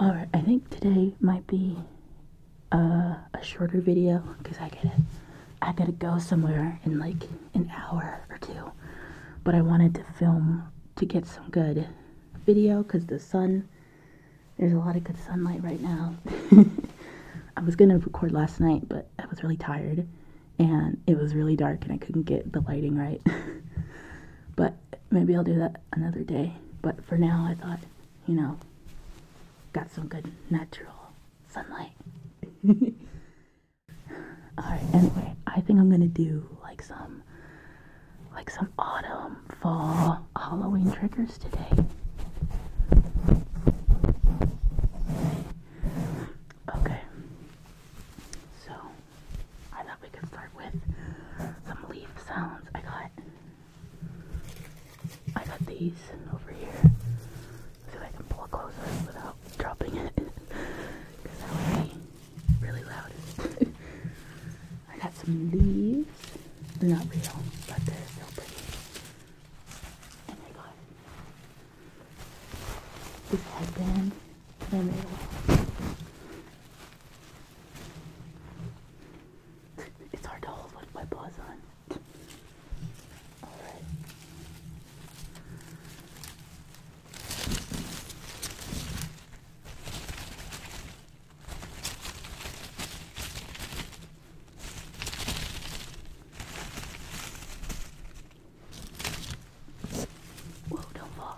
Alright, I think today might be uh, a shorter video because I gotta, I gotta go somewhere in like an hour or two. But I wanted to film to get some good video because the sun, there's a lot of good sunlight right now. I was gonna record last night, but I was really tired and it was really dark and I couldn't get the lighting right. but maybe I'll do that another day. But for now, I thought, you know, got some good natural sunlight. Alright, anyway, I think I'm gonna do like some like some autumn, fall, Halloween triggers today. Okay. So I thought we could start with some leaf sounds. I got I got these over here. so if I can pull it closer without dropping it. Because that would be really loud. I got some leaves. They're not real, but they're still pretty. And I got this headband. And they it's hard to hold with my paws on. Alright. Whoa, don't fall.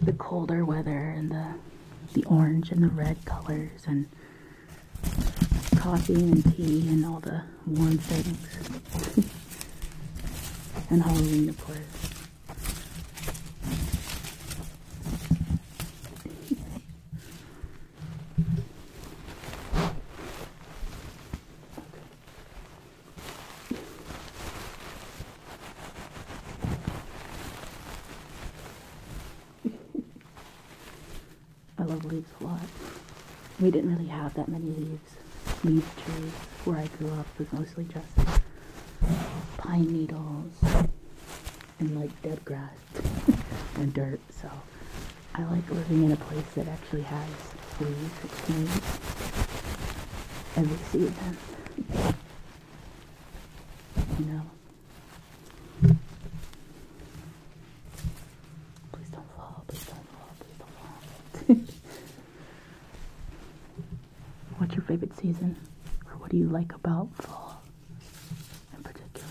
the colder weather and the the orange and the red colors and coffee and tea and all the warm things. and Halloween, of course. I love leaves a lot. We didn't really have that many leaves. Leaf trees where I grew up was mostly just pine needles and like dead grass and dirt. So I like living in a place that actually has leaves. And we see them. You Please don't fall, please don't fall, please don't fall. What's your favorite season? Or what do you like about fall in particular?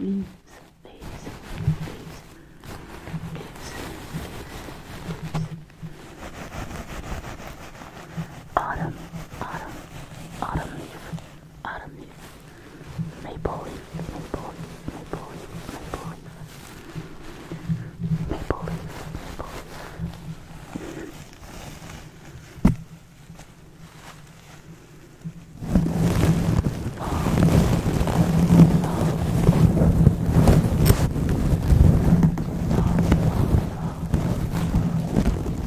Leave. Leaves, leaves, leaves, leaves, leaves. Autumn, autumn, autumn leaf autumn leaf, maple leaf, maple leaf, maple leaf, maple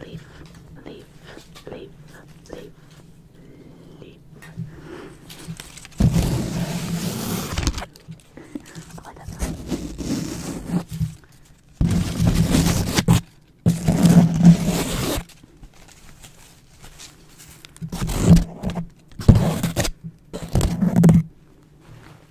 Leaf, leaf, leaf, leaf, leaf. oh, I got that.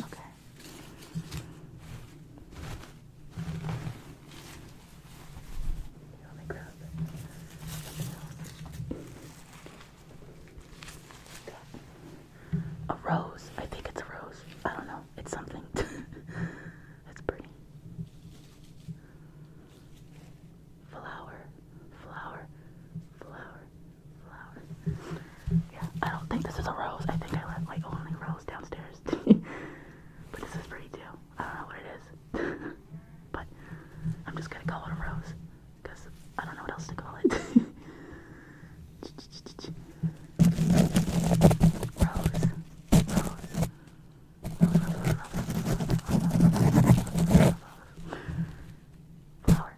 Okay. Let me grab A rose. I think it's a rose. I don't know. It's something. That's pretty. Flower, flower, flower flowers. I don't think this is a rose. I think I left like only rose downstairs. but this is pretty too. I don't know what it is. but I'm just gonna call it a rose. Because I don't know what else to call it. Rose. Flower.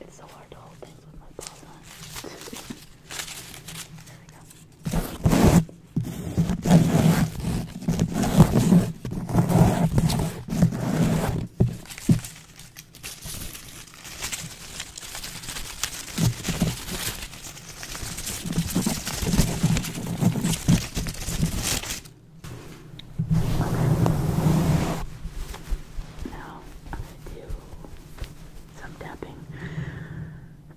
It's so hard to hold things with my paws on. There we go. Now I'm going to do some tapping.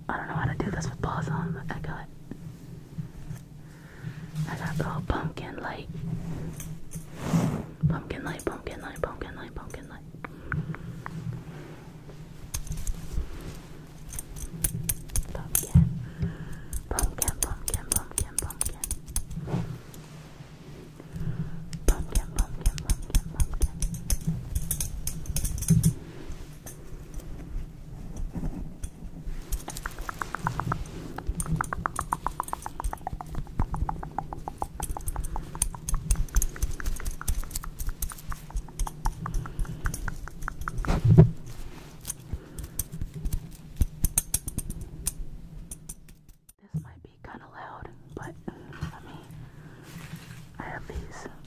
I don't know how to do this with paws on. I got, I got little pumpkin light, pumpkin light, pumpkin light, pumpkin light, pumpkin light. pumpkin, pumpkin, pumpkin. Pumpkin, pumpkin, pumpkin, pumpkin. This might be kind of loud, but mm, let me. I have these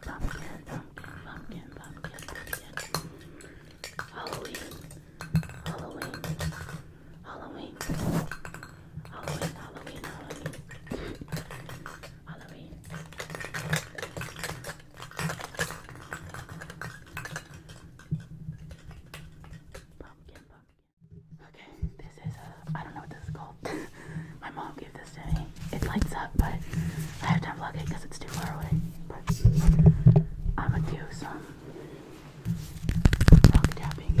pumpkin, pumpkin, pumpkin, pumpkin. Halloween, Halloween, Halloween, Halloween, Halloween, Halloween, Halloween. Pumpkin, pumpkin. Okay, this is a, I don't know what this is called. My mom gave this to me. It lights up, but I have to unplug it because it's too far away. But I'm gonna do some rock tapping.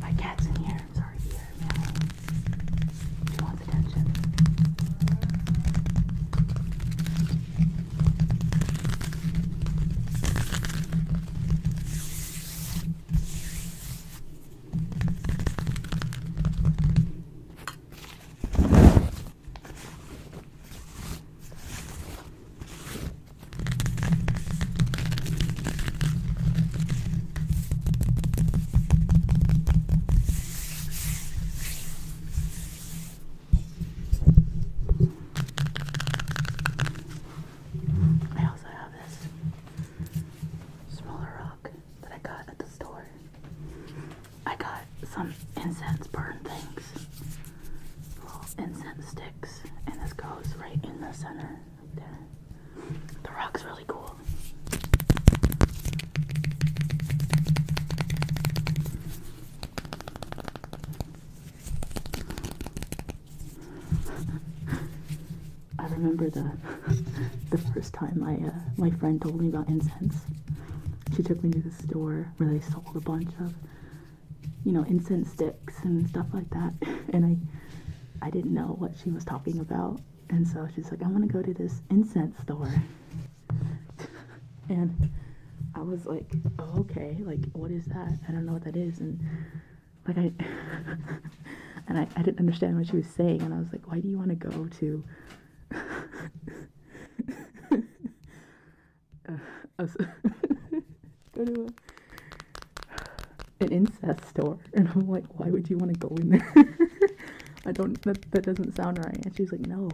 My cat's in here nerves are here, man. She wants attention. All I also have this smaller rock that I got at the store. I got some incense burn things, little incense sticks, and this goes right in the center, there. The rock's really cool. I remember the the first time I uh, my friend told me about incense. She took me to the store where they sold a bunch of you know incense sticks and stuff like that, and I I didn't know what she was talking about. And so she's like, I want to go to this incense store. and I was like, oh, okay, like, what is that? I don't know what that is. And like, I, and I, I didn't understand what she was saying. And I was like, why do you want to go to go to an incense store and i'm like why would you want to go in there i don't that, that doesn't sound right and she's like no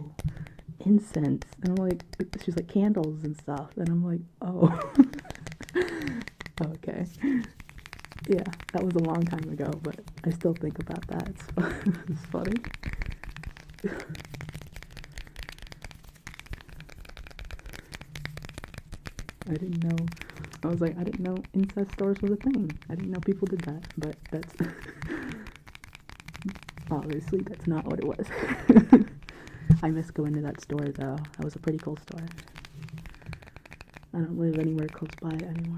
incense and i'm like she's like candles and stuff and i'm like oh okay yeah that was a long time ago but i still think about that it's, funny I didn't know. I was like, I didn't know incense stores was a thing. I didn't know people did that. But that's obviously that's not what it was. I miss going to that store though. That was a pretty cool store. I don't live anywhere close by anymore.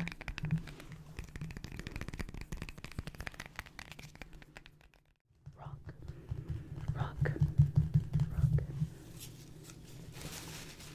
Rock, rock, rock.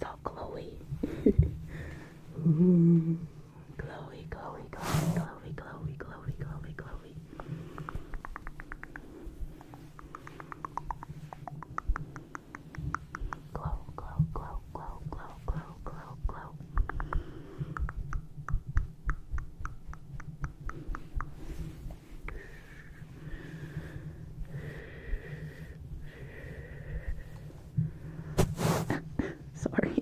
so Chloe. Chloe, Chloe, Chloe, Chloe, Chloe, Chloe, Chloe, Chloe. Glow, glow, glow, glow, glow, glow, Sorry,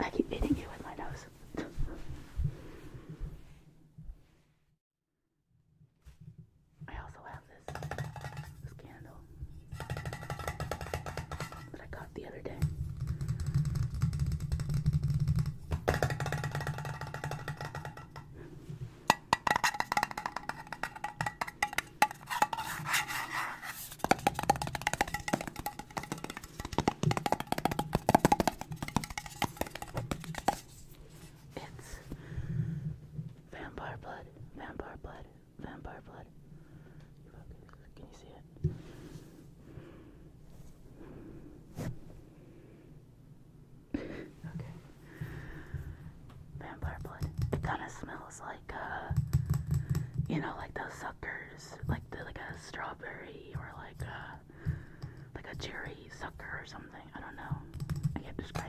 I keep hitting you with my nose. I also have this, candle that I got the other day. It's vampire blood, vampire blood, vampire blood. Can you see it? okay. Vampire blood. It kind of smells like, uh, you know, like those suckers, like the, like a strawberry or like a uh, like a cherry sucker or something. I don't know. I can't describe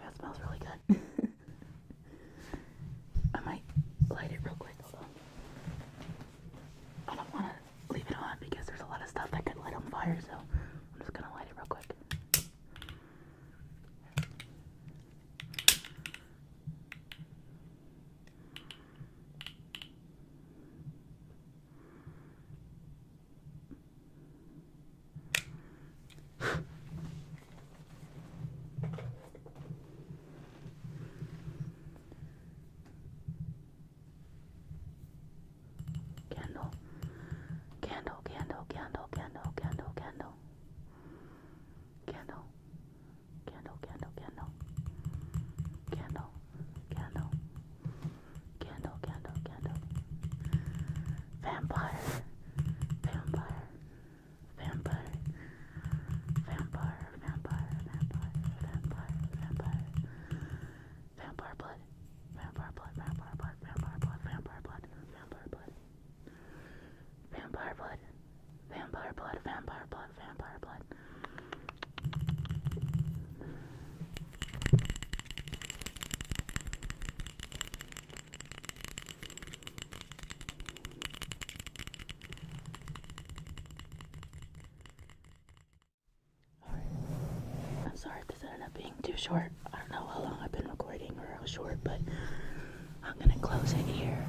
That smells really good. I might light it real quick, I don't want to leave it on because there's a lot of stuff that could light on fire, so I'm just going to light it real quick. Candle, candle, candle, candle, candle, candle, candle, candle, candle, candle, candle, candle, candle, candle, candle, candle, vampire, vampire, vampire, vampire, vampire, vampire, vampire, vampire, vampire blood, vampire blood, vampire blood, vampire blood, vampire blood, vampire blood. Vampire blood. Vampire blood. Vampire blood. Vampire blood. I'm sorry this ended up being too short. I don't know how long I've been recording or how short, but I'm gonna close it here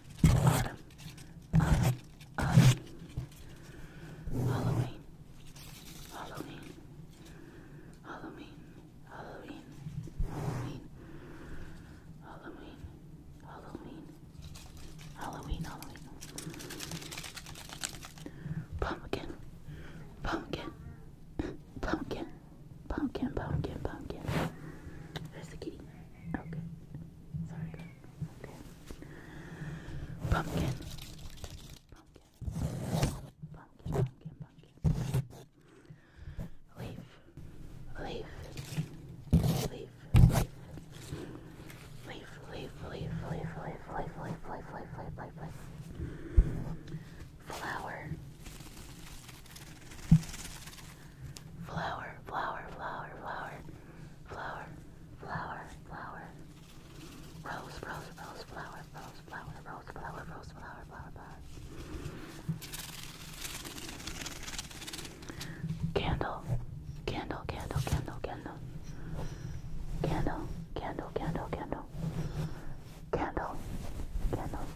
autumn, Halloween, Halloween, Halloween, Halloween, Halloween, Halloween, Halloween, Halloween, Halloween. Pumpkin, pumpkin, pumpkin. Pumpkin, pumpkin, pumpkin. There's the kitty. Okay. Sorry, girl. Okay. Pumpkin. Pumpkin. Pumpkin, pumpkin, pumpkin. Leaf. Leaf. Leaf. Leaf. Leaf, leaf, leaf, leaf, leaf, leaf, leaf, leaf, leaf, leaf, leaf, leaf. Flower. Flower, flower, flower, flower, flower, flower, flower. Rose, rose, rose, flower, rose, flower, rose, flower, rose, flower, flower, flower. Candle, candle, candle, candle, candle. Candle, candle, candle, candle. Candle, candle,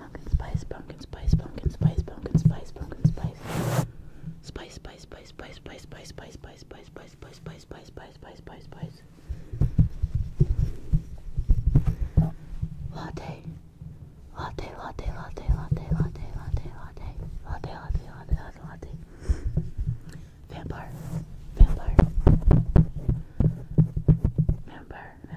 Pumpkin spice. Pumpkin spice, pumpkin spice, pumpkin spice, pumpkin spice, pumpkin spice. Spice, spice, spice, spice, spice, spice, spice, spice, spice, spice, spice, spice, spice, spice, spice, spice, spice. Latte. Latte, latte, latte, latte, latte, latte, latte, latte, latte, latte, latte, latte. Vampire. Vampire. Vampire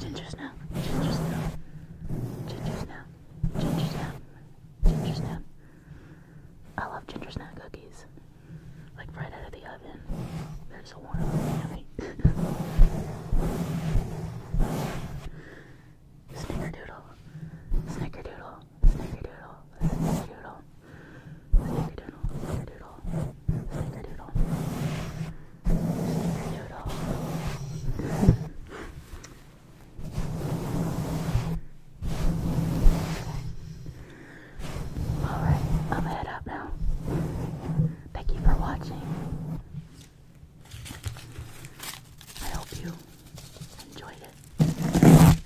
Ginger snap, ginger snap, ginger snap, ginger snap, I love ginger cookies. Like right out of the oven. There's a warm yummy. Snickerdoodle, snickerdoodle, snickerdoodle, snickerdoodle, snickerdoodle, snickerdoodle, snickerdoodle, Alright, I'm head out now. Thank you for watching. I hope you enjoyed it.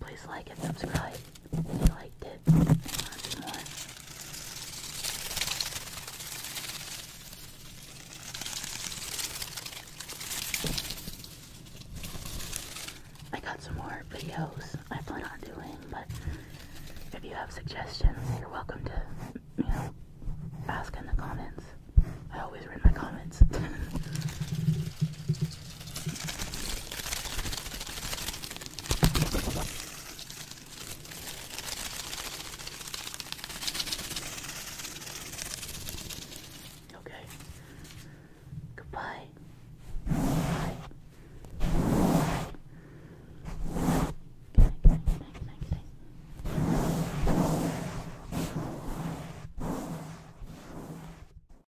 Please like and subscribe if you liked it. I got some more videos I plan on doing, but if you have suggestions, you're welcome to, you know, ask in the comments. I always read my comments. Okay. Goodbye. Bye. Good night, good night, good night, good night, good night.